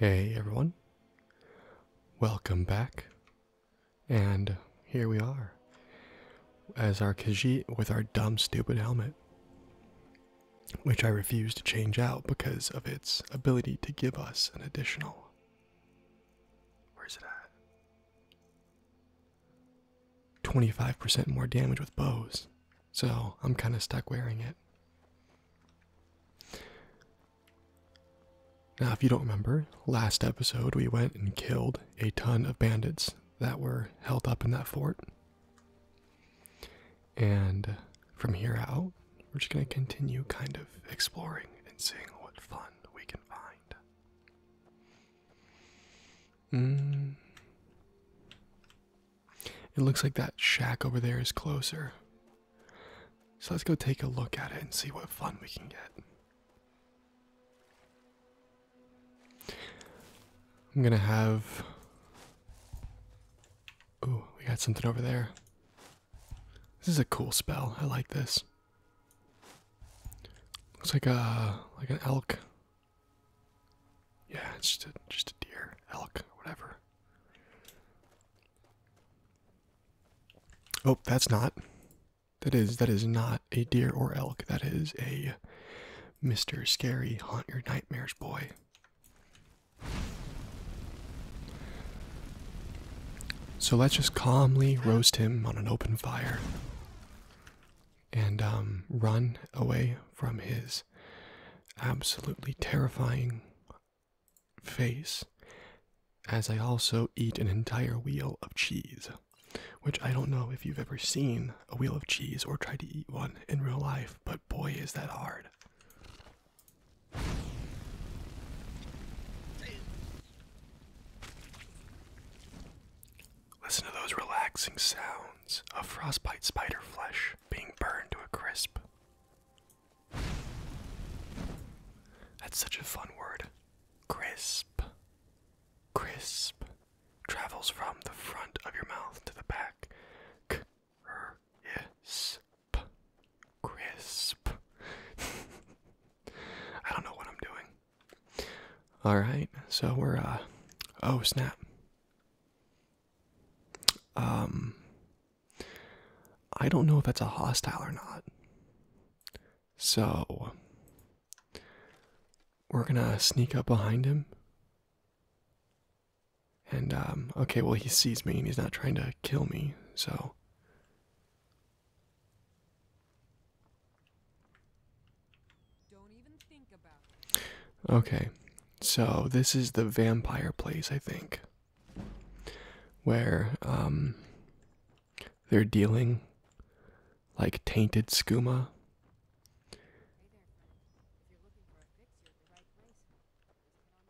Hey everyone, welcome back, and here we are, as our Khajiit with our dumb stupid helmet, which I refuse to change out because of its ability to give us an additional, where's it at? 25% more damage with bows. So I'm kind of stuck wearing it. Now, if you don't remember, last episode we went and killed a ton of bandits that were held up in that fort. And from here out, we're just going to continue kind of exploring and seeing what fun we can find. Mm. It looks like that shack over there is closer. So let's go take a look at it and see what fun we can get. I'm gonna have. Ooh, we got something over there. This is a cool spell. I like this. Looks like a like an elk yeah, it's just a, just a deer, elk, whatever. Oh, that's not. That is that is not a deer or elk. That is a Mr. Scary Haunt Your Nightmares boy. So let's just calmly roast him on an open fire and um, run away from his absolutely terrifying face as I also eat an entire wheel of cheese, which I don't know if you've ever seen a wheel of cheese or tried to eat one in real life, but boy, is that hard. Listen to those relaxing sounds of frostbite spider flesh being burned to a crisp. That's such a fun word. Crisp. Crisp travels from the front of your mouth to the back. Crisp. Crisp. I don't know what I'm doing. All right, so we're uh oh snap. Um I don't know if that's a hostile or not. So we're gonna sneak up behind him. And um okay, well he sees me and he's not trying to kill me, so Okay, so this is the vampire place, I think, where um, they're dealing like tainted skooma.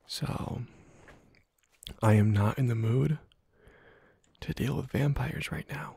So, I am not in the mood to deal with vampires right now.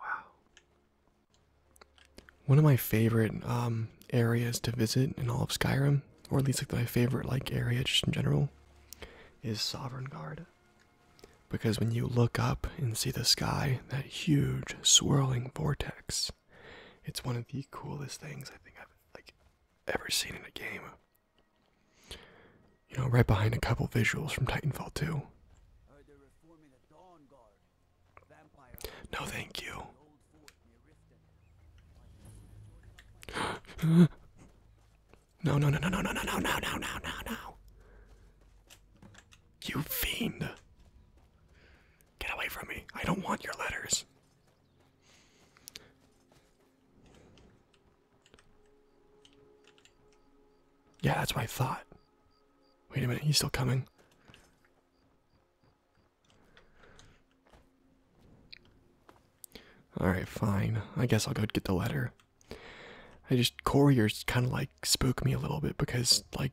Wow. One of my favorite um, areas to visit in all of Skyrim, or at least like my favorite like area just in general, is Sovereign Guard. Because when you look up and see the sky, that huge swirling vortex it's one of the coolest things I think I've like ever seen in a game. You know, right behind a couple visuals from Titanfall 2. No, thank you. no, no, no, no, no, no, no, no, no, no, no. You fiend. Get away from me. I don't want your letters. Yeah, that's my thought. Wait a minute, he's still coming. Alright, fine. I guess I'll go get the letter. I just, couriers kind of like spook me a little bit because, like,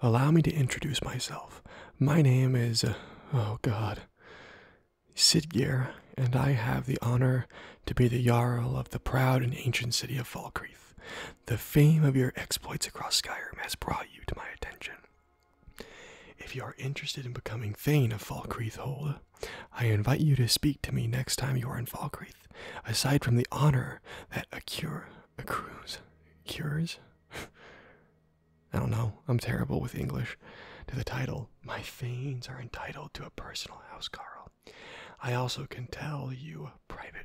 Allow me to introduce myself. My name is, uh, oh god, Sidgear, and I have the honor to be the Jarl of the proud and ancient city of Falkreath. The fame of your exploits across Skyrim has brought you to my attention. If you are interested in becoming fane of Falkreath Hold, I invite you to speak to me next time you are in Falkreath aside from the honor that a cure accrues. Cures? I don't know. I'm terrible with English. To the title, my thanes are entitled to a personal house, Carl. I also can tell you privately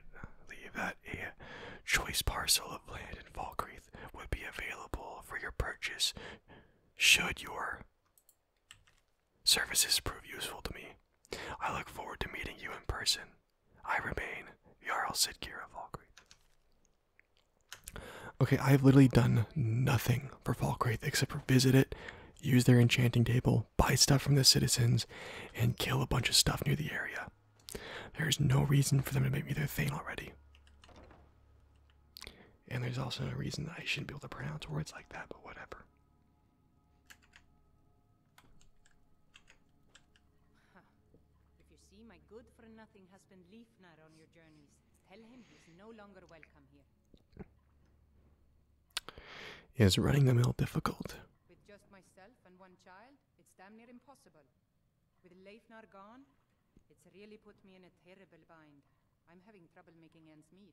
that a choice parcel of land in Falkreath would be available for your purchase should your Services prove useful to me. I look forward to meeting you in person. I remain Jarl Sidkir of Falkreath. Okay, I've literally done nothing for Falkreath except visit it, use their enchanting table, buy stuff from the citizens, and kill a bunch of stuff near the area. There's no reason for them to make me their thing already. And there's also no reason that I shouldn't be able to pronounce words like that, but whatever. If you see, my good-for-nothing husband Leifnar on your journeys, tell him he's no longer welcome here. Is running the mill difficult? With just myself and one child, it's damn near impossible. With Leifnar gone, it's really put me in a terrible bind. I'm having trouble making ends meet.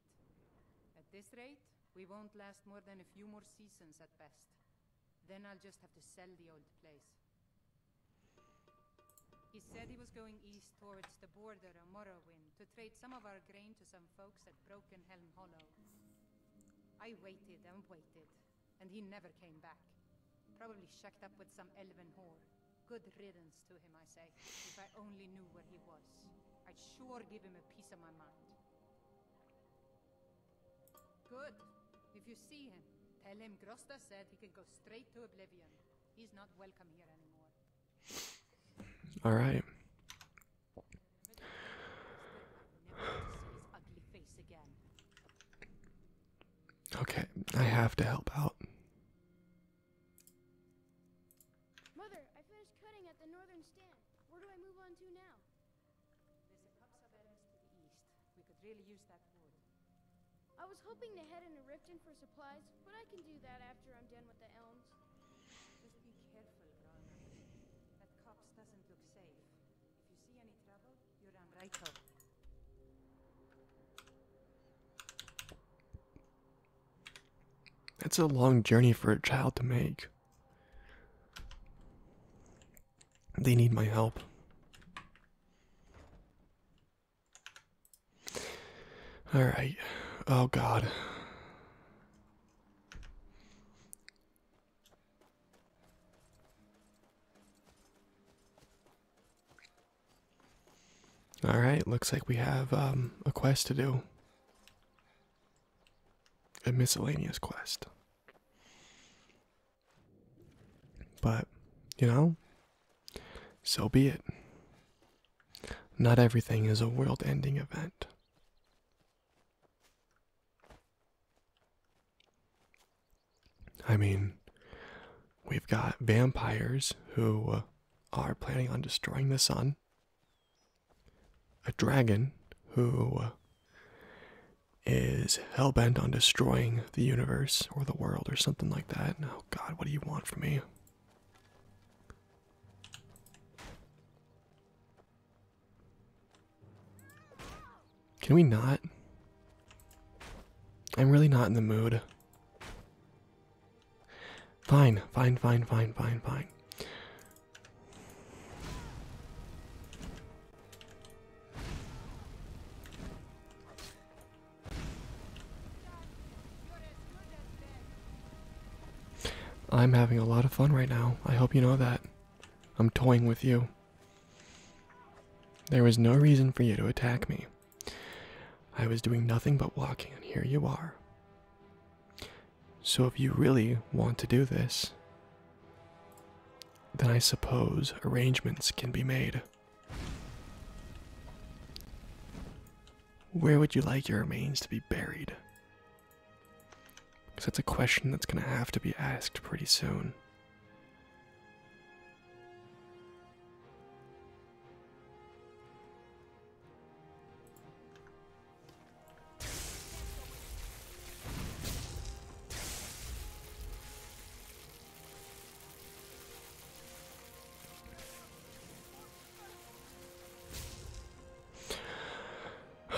At this rate, we won't last more than a few more seasons at best. Then I'll just have to sell the old place. He said he was going east towards the border of Morrowind to trade some of our grain to some folks at Broken Helm Hollow. I waited and waited, and he never came back. Probably shacked up with some elven whore. Good riddance to him, I say. If I only knew where he was, I'd sure give him a piece of my mind. Good. If you see him, tell him Grosta said he can go straight to Oblivion. He's not welcome here anymore. All right. Okay, I have to help out. Mother, I finished cutting at the northern stand. Where do I move on to now? There's a pub suburbs to the east. We could really use that wood. I was hoping to head into Riften for supplies, but I can do that after I'm done with the elms. Just be careful, Bron. That copse doesn't look safe. If you see any trouble, you run right over. It's a long journey for a child to make. They need my help. All right. Oh, God. All right, looks like we have um, a quest to do a miscellaneous quest. But, you know, so be it. Not everything is a world ending event. I mean, we've got vampires who uh, are planning on destroying the sun a dragon who uh, is hell bent on destroying the universe or the world or something like that. Oh god, what do you want from me? Can we not? I'm really not in the mood. Fine, fine, fine, fine, fine, fine. I'm having a lot of fun right now. I hope you know that. I'm toying with you. There was no reason for you to attack me. I was doing nothing but walking, and here you are. So, if you really want to do this, then I suppose arrangements can be made. Where would you like your remains to be buried? Because that's a question that's going to have to be asked pretty soon.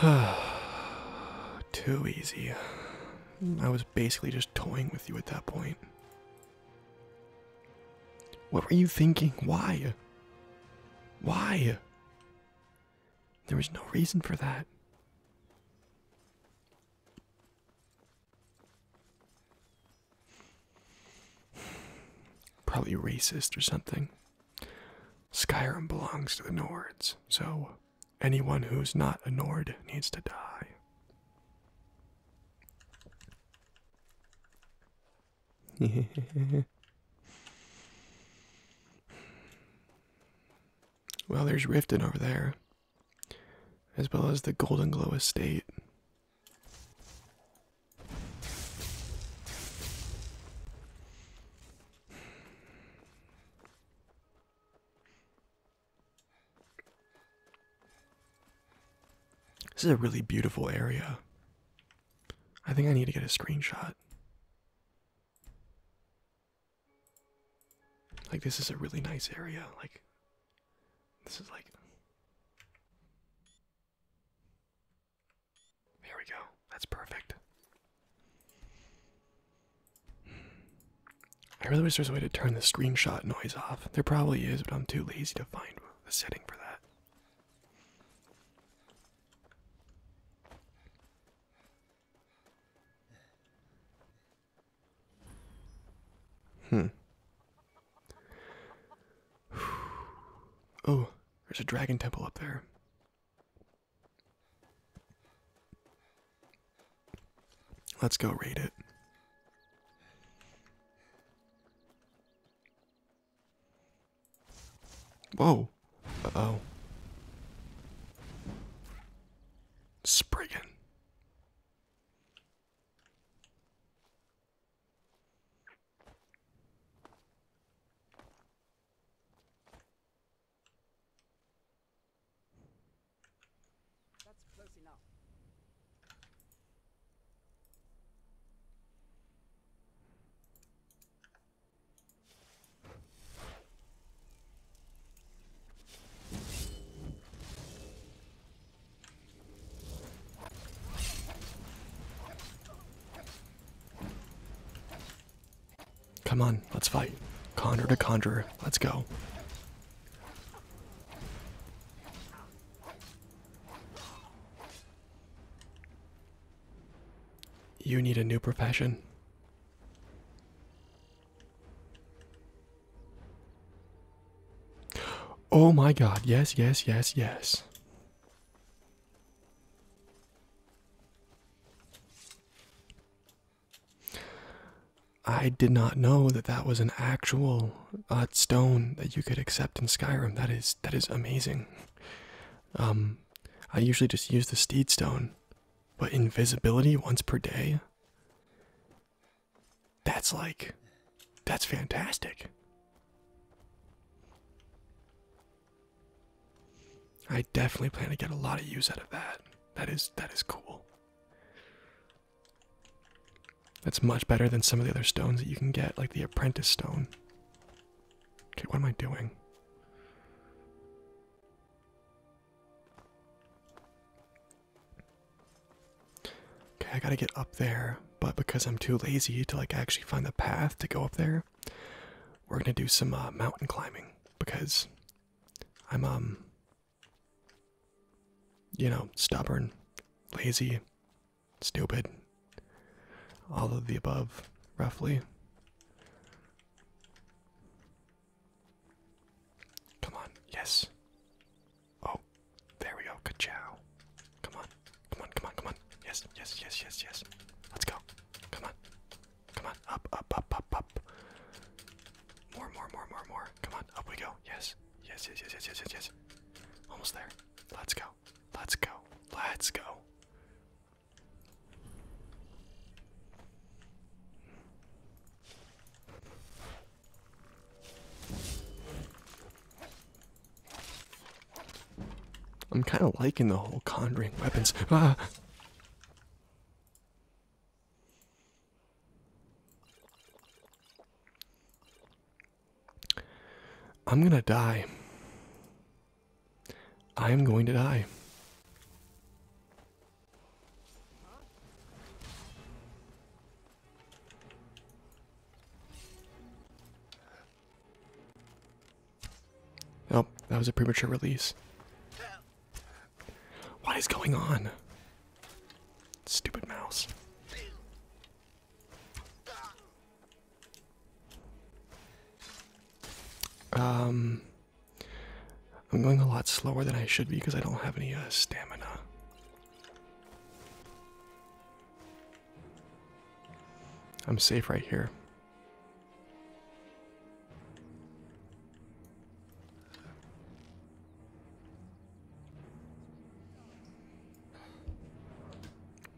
Too easy. I was basically just toying with you at that point. What were you thinking? Why? Why? There was no reason for that. Probably racist or something. Skyrim belongs to the Nords, so anyone who's not a Nord needs to die. well, there's Riften over there, as well as the Golden Glow Estate. This is a really beautiful area. I think I need to get a screenshot. Like, this is a really nice area. Like, this is like. There we go. That's perfect. I really wish there was a way to turn the screenshot noise off. There probably is, but I'm too lazy to find the setting for that. Hmm. Oh, there's a dragon temple up there. Let's go raid it. Whoa. Uh-oh. Spriggan. That's close enough. Come on, let's fight. conjurer to conjurer. Let's go. You need a new profession. Oh my god, yes, yes, yes, yes. I did not know that that was an actual uh, stone that you could accept in Skyrim. That is that is amazing. Um, I usually just use the steed stone, but invisibility once per day. That's like, that's fantastic. I definitely plan to get a lot of use out of that. That is that is cool. That's much better than some of the other stones that you can get, like the apprentice stone. Okay, what am I doing? Okay, I gotta get up there, but because I'm too lazy to like actually find the path to go up there, we're gonna do some uh, mountain climbing because I'm um you know stubborn, lazy, stupid. All of the above, roughly. Come on, yes. Oh, there we go. Ka-chow. Come on, come on, come on, come on. Yes, yes, yes, yes, yes. Let's go. Come on, come on. Up, up, up, up, up. More, more, more, more, more. Come on, up we go. yes, yes, yes, yes, yes, yes, yes. Almost there. Let's go. Let's go. Let's go. I'm kind of liking the whole conjuring weapons. Ah. I'm gonna die. I am going to die. Oh, that was a premature release. What is going on? Stupid mouse. Um, I'm going a lot slower than I should be because I don't have any uh, stamina. I'm safe right here.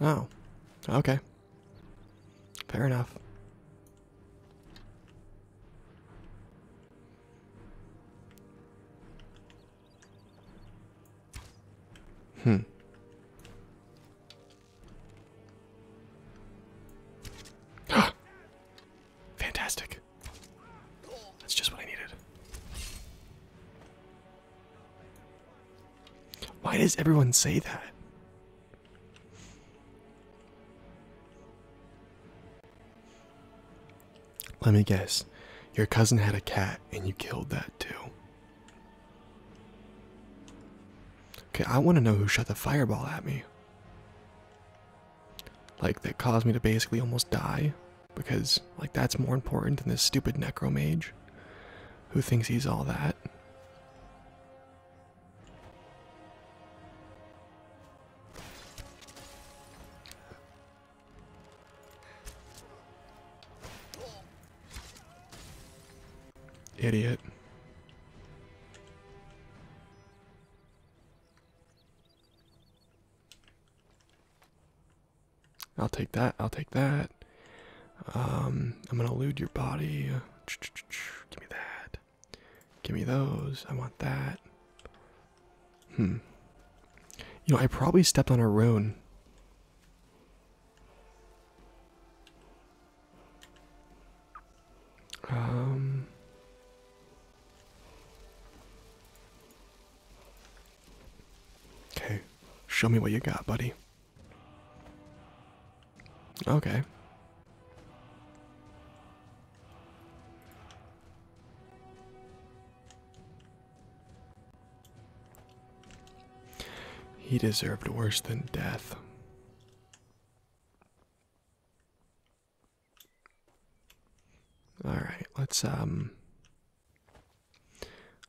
Oh. Okay. Fair enough. Hmm. Fantastic. That's just what I needed. Why does everyone say that? Let me guess. Your cousin had a cat and you killed that too. Okay, I want to know who shot the fireball at me. Like, that caused me to basically almost die. Because, like, that's more important than this stupid necromage who thinks he's all that. Idiot. I'll take that. I'll take that. Um, I'm gonna elude your body. Give me that. Give me those. I want that. Hmm. You know, I probably stepped on a rune. Um. Okay, show me what you got, buddy. Okay. He deserved worse than death. All right, let's um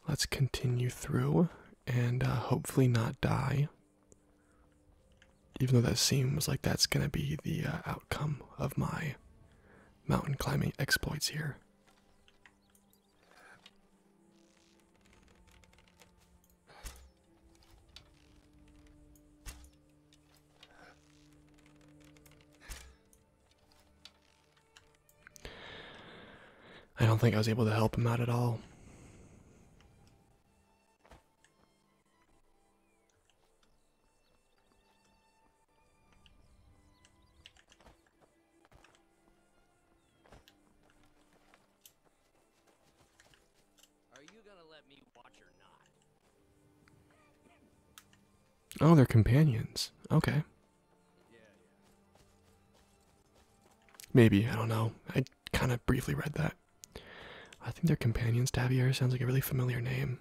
let's continue through and uh, hopefully not die. Even though that seems like that's gonna be the uh, outcome of my mountain climbing exploits here. I don't think I was able to help him out at all. Oh, they're companions. Okay. Maybe, I don't know. I kind of briefly read that. I think their companions. Davier sounds like a really familiar name.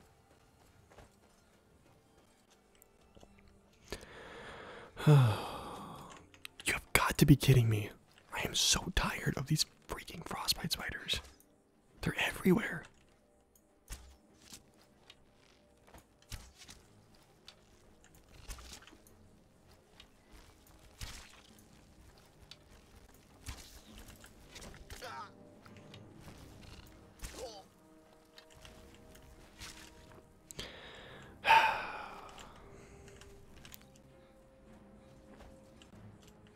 you have got to be kidding me. I am so tired of these freaking frostbite spiders. They're everywhere.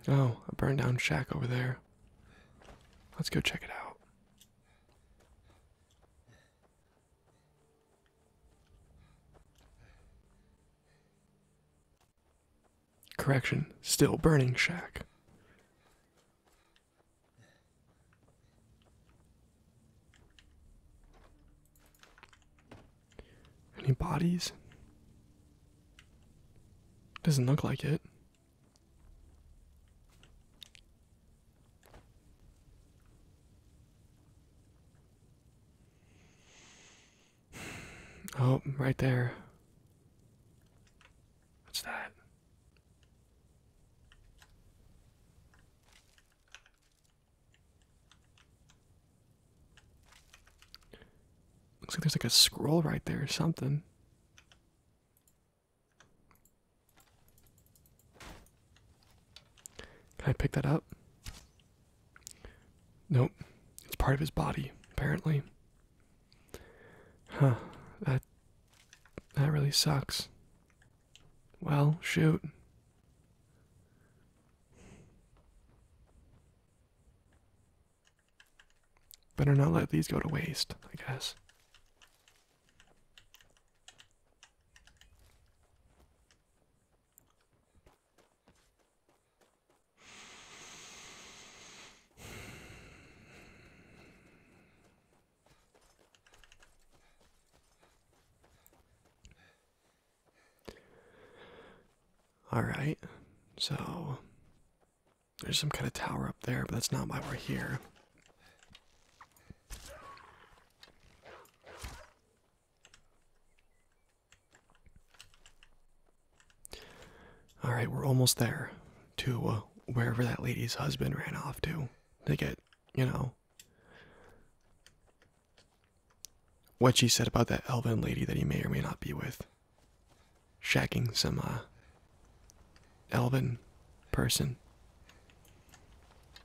oh, a burned down shack over there. Let's go check it out. Correction, still burning shack. Any bodies? Doesn't look like it. Oh, right there. What's that? Looks like there's like a scroll right there or something. Can I pick that up? Nope. It's part of his body, apparently. Huh. That that really sucks. Well, shoot. Better not let these go to waste, I guess. All right, so there's some kind of tower up there, but that's not why we're here. All right, we're almost there to uh, wherever that lady's husband ran off to to get, you know, what she said about that elven lady that he may or may not be with. Shacking some uh, elven person.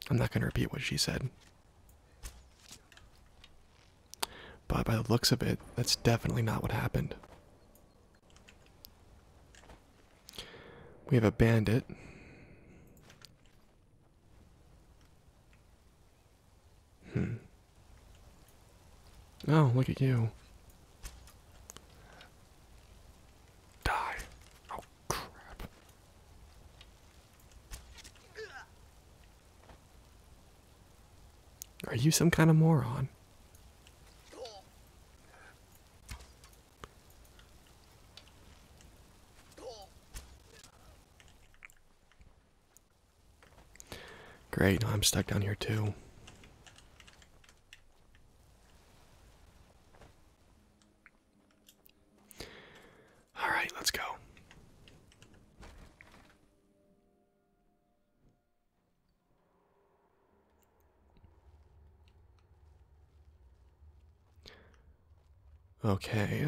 I'm not going to repeat what she said. But by the looks of it, that's definitely not what happened. We have a bandit. Hmm. Oh, look at you. Die. Oh crap. Are you some kind of moron? Great, I'm stuck down here too. All right, let's go. Okay.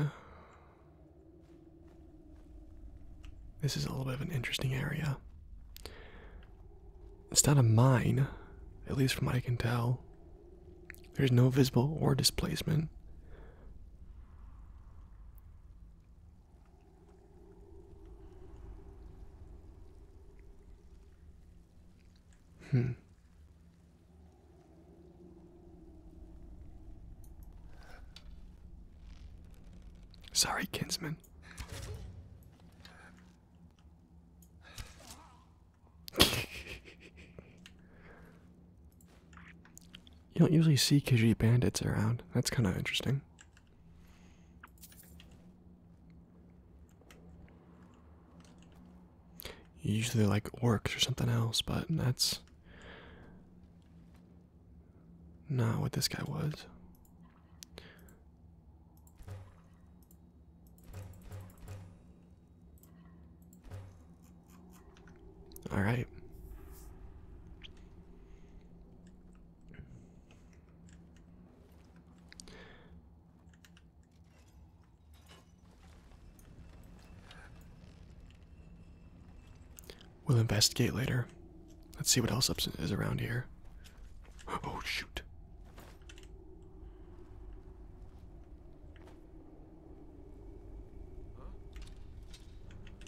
This is a little bit of an interesting area. It's not a mine, at least from what I can tell. There's no visible or displacement. Hmm. Sorry, kinsman you don't usually see Khajiit bandits around. That's kind of interesting. Usually like orcs or something else, but that's not what this guy was. All right. We'll investigate later. Let's see what else is around here. Oh, shoot.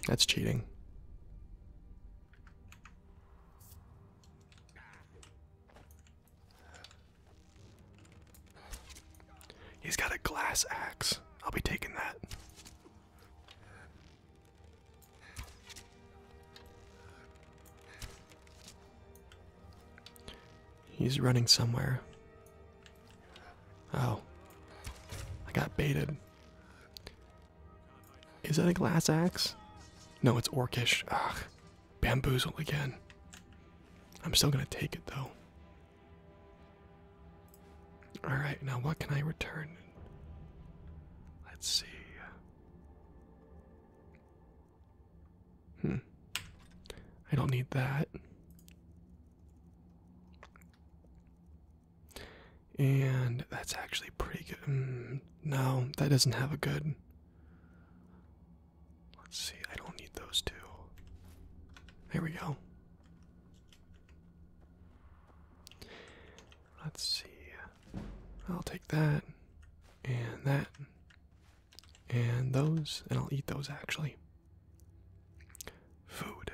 That's cheating. He's got a glass axe. I'll be taking that. He's running somewhere. Oh. I got baited. Is that a glass axe? No, it's orcish. Ugh. Bamboozle again. I'm still gonna take it though. Alright, now what can I return? Let's see. Hmm. I don't need that. And that's actually pretty good. Mm, no, that doesn't have a good. Let's see, I don't need those two. There we go. Let's see. I'll take that and that and those, and I'll eat those actually. Food.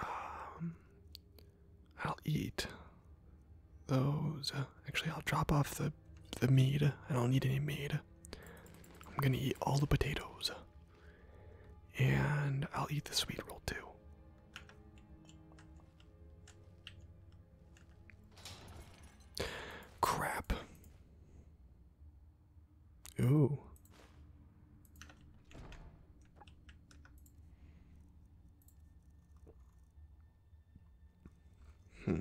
Um, I'll eat those. Actually, I'll drop off the the meat. I don't need any meat. I'm gonna eat all the potatoes, and I'll eat the sweet roll too. Crap. Ooh. Hmm.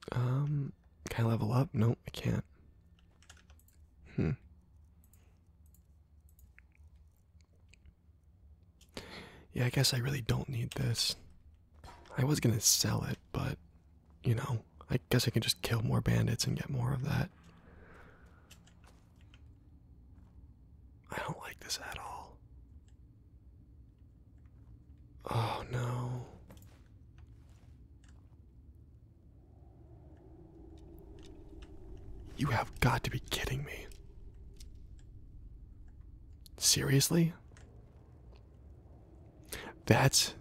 um can I level up? Nope, I can't. Hmm. Yeah, I guess I really don't need this. I was gonna sell it, but you know, I guess I can just kill more bandits and get more of that. I don't like this at all. Oh no. You have got to be kidding me. Seriously? That's.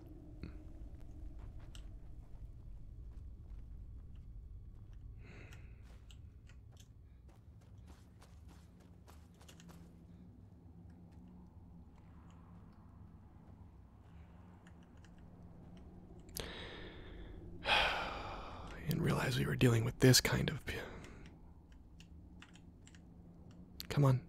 I didn't realize we were dealing with this kind of. Come on.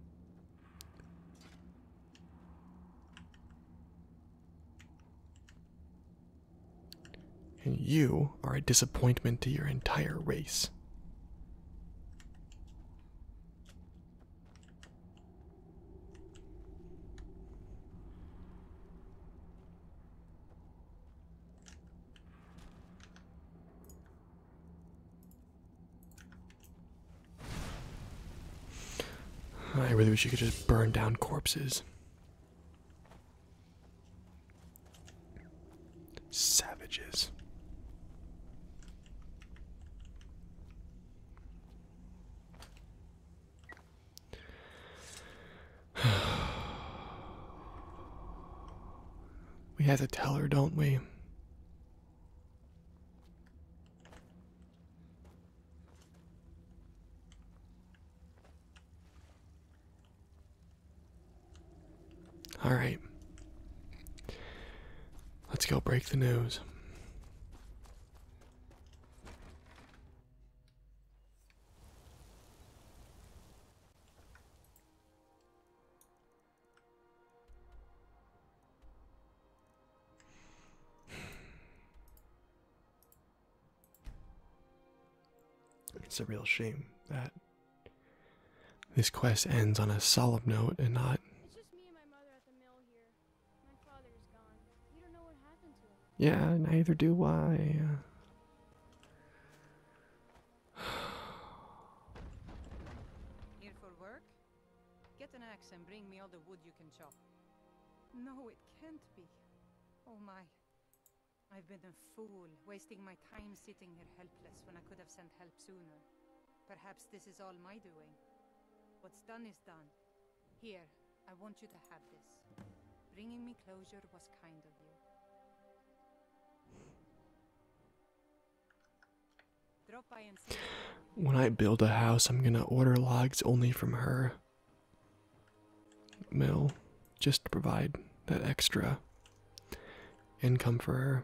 And you are a disappointment to your entire race. I really wish you could just burn down corpses. Savages. we have to tell her, don't we? All right. Let's go break the news. It's a real shame that this quest ends on a solemn note and not. Yeah, neither do I. Here for work? Get an axe and bring me all the wood you can chop. No, it can't be. Oh my. I've been a fool, wasting my time sitting here helpless when I could have sent help sooner. Perhaps this is all my doing. What's done is done. Here, I want you to have this. Bringing me closure was kind of you. When I build a house, I'm gonna order logs only from her mill just to provide that extra income for her.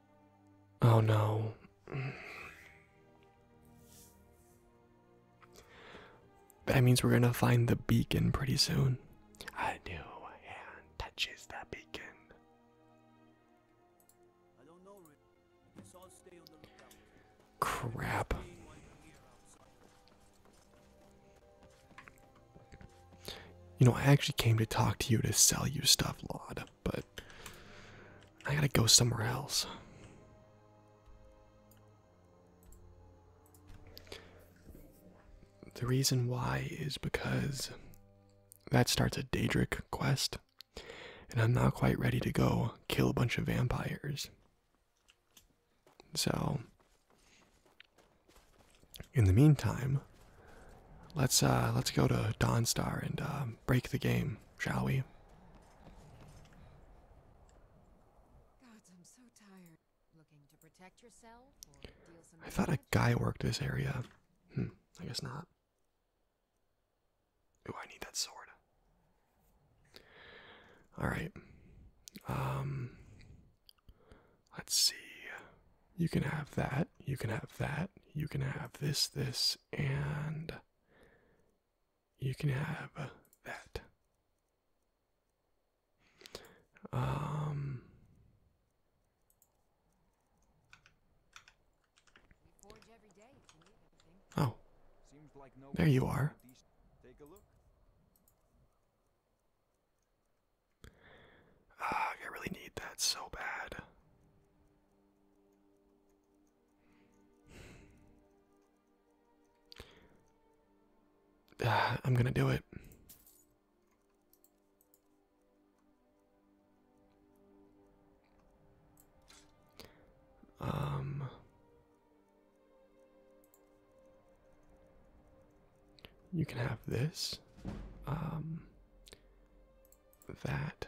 Oh no. That means we're gonna find the beacon pretty soon. I do, and touches the beacon. Crap. You know, I actually came to talk to you to sell you stuff, Lod but I gotta go somewhere else. The reason why is because that starts a Daedric quest, and I'm not quite ready to go kill a bunch of vampires. So, in the meantime, let's uh, let's go to Dawnstar and uh, break the game shall we? i thought a guy worked this area. Hmm, I guess not. Ooh, I need that sword. Alright. Um, let's see. You can have that. You can have that. You can have this, this, and you can have that. Um, oh. There you are. Ah, I really need that so bad. I'm gonna do it. Um, you can have this, um, that,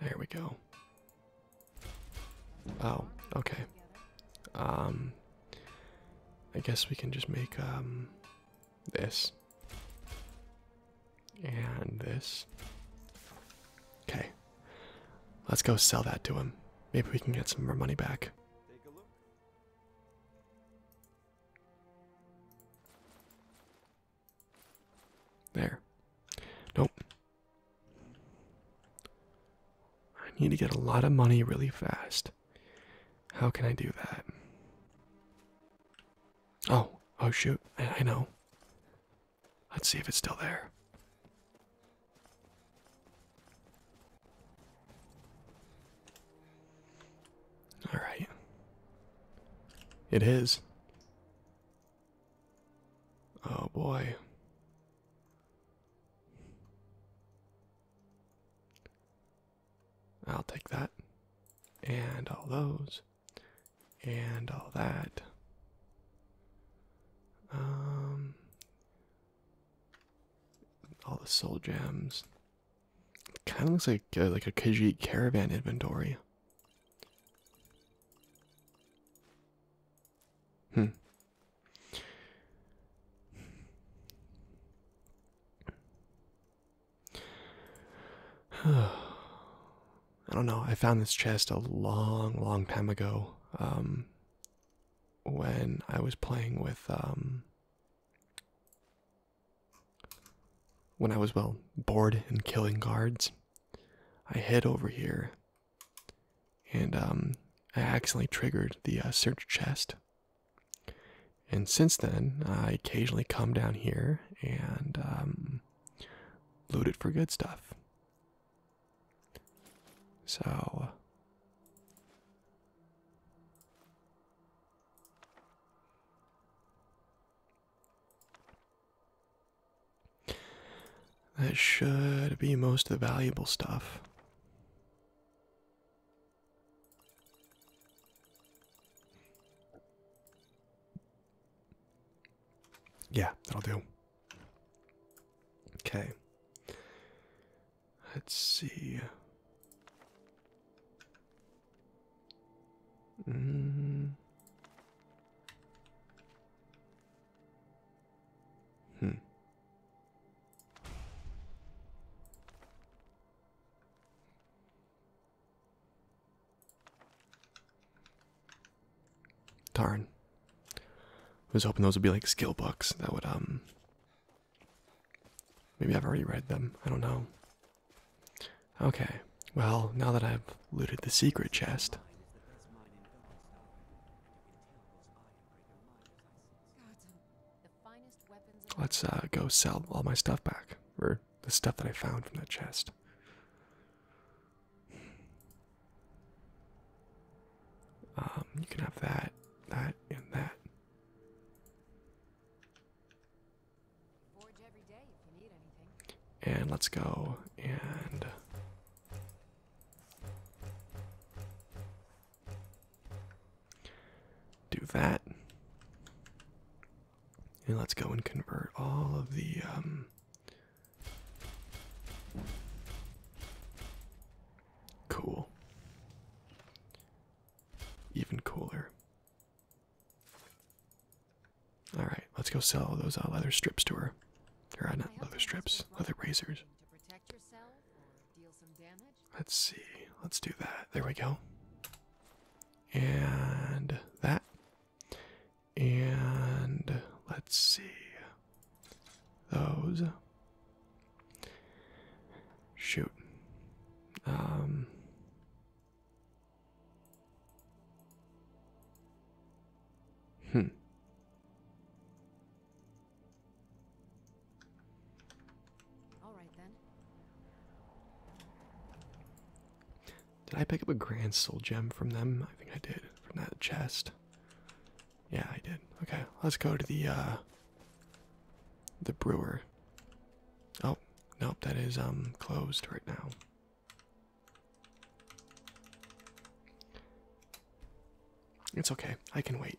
There we go. Oh, okay. Um I guess we can just make um this and this. Okay. Let's go sell that to him. Maybe we can get some more money back. There. Nope. I need to get a lot of money really fast. How can I do that? Oh, oh shoot. I, know. Let's see if it's still there. All right. It is. Oh boy. I'll take that. And all those. And all that. Um all the soul gems. Kind of looks like uh, like a Khajiit caravan inventory. Hmm. I don't know. I found this chest a long, long time ago um, when I was playing with um, when I was, well, bored and killing guards, I hid over here and um, I accidentally triggered the uh, search chest. And since then, I occasionally come down here and um, loot it for good stuff. So, that should be most of the valuable stuff. Yeah, that'll do. Okay. Let's see. Mm. Hmm. Darn. I was hoping those would be like skill books that would um Maybe I've already read them. I don't know. Okay, well, now that I've looted the secret chest. Let's uh, go sell all my stuff back, or the stuff that I found from that chest. Um, you can have that, that, and that. And let's go and do that. And let's go and convert all of the um, cool. Even cooler. All right, let's go sell those uh, leather strips to her. Or uh, not leather strips, leather razors. Let's see. Let's do that. There we go. And that. And let's see. Those. Shoot. Um. Hmm. All right then. Did I pick up a grand soul gem from them? I think I did. From that chest. Yeah, I did. Okay, let's go to the uh the brewer. Oh, nope, that is um closed right now. It's okay. I can wait.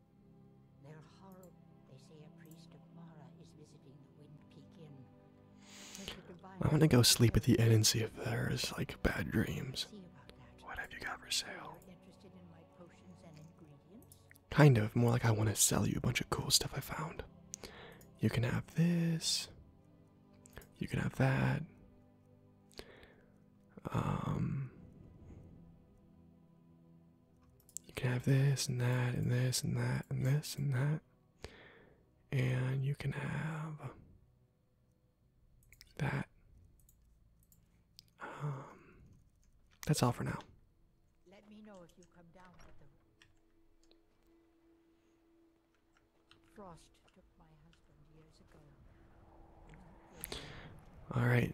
They're horrible. They say a priest of Mara is visiting the Wind Peak Inn. i want to go sleep at the inn and see if there's like bad dreams. What have you got for sale? In kind of, more like I want to sell you a bunch of cool stuff I found. You can have this. You can have that. Um you can have this and that and this and that and this and that and you can have that um, that's all for now let me know if you come down frost took my husband years ago all right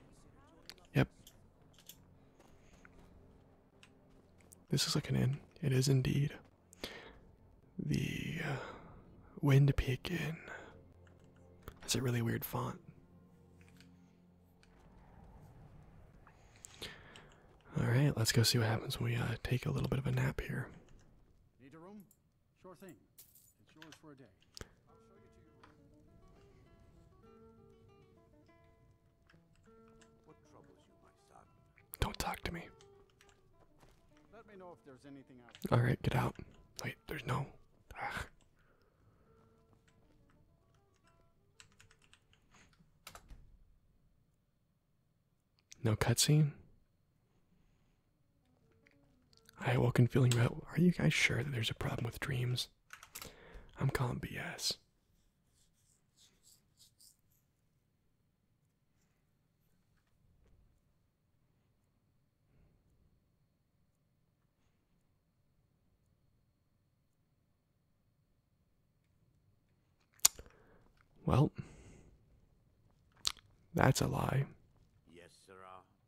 Yep. This is like an inn. It is indeed. The uh, Wind Peak Inn. That's a really weird font. All right, let's go see what happens when we uh, take a little bit of a nap here. Sure thing. It's yours for a day. I'll show you to your room. What troubles you, my son? Don't talk to me. Let me know if there's anything All right, get out. Wait, there's no. No cutscene. I woke and feeling well. Are you guys sure that there's a problem with dreams? I'm calling BS. Well, that's a lie.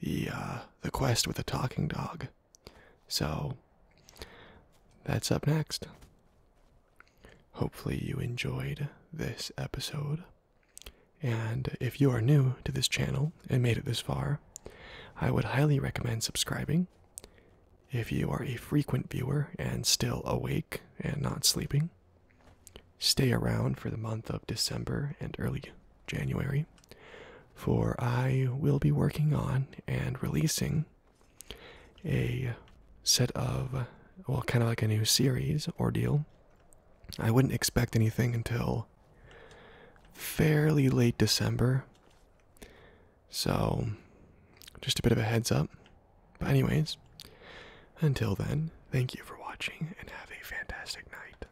the uh, the quest with the talking dog. So that's up next. Hopefully you enjoyed this episode. And if you are new to this channel and made it this far, I would highly recommend subscribing. If you are a frequent viewer and still awake and not sleeping, stay around for the month of December and early January for I will be working on and releasing a set of, well, kind of like a new series ordeal. I wouldn't expect anything until fairly late December. So, just a bit of a heads up. But, anyways, until then, thank you for watching and have a fantastic night.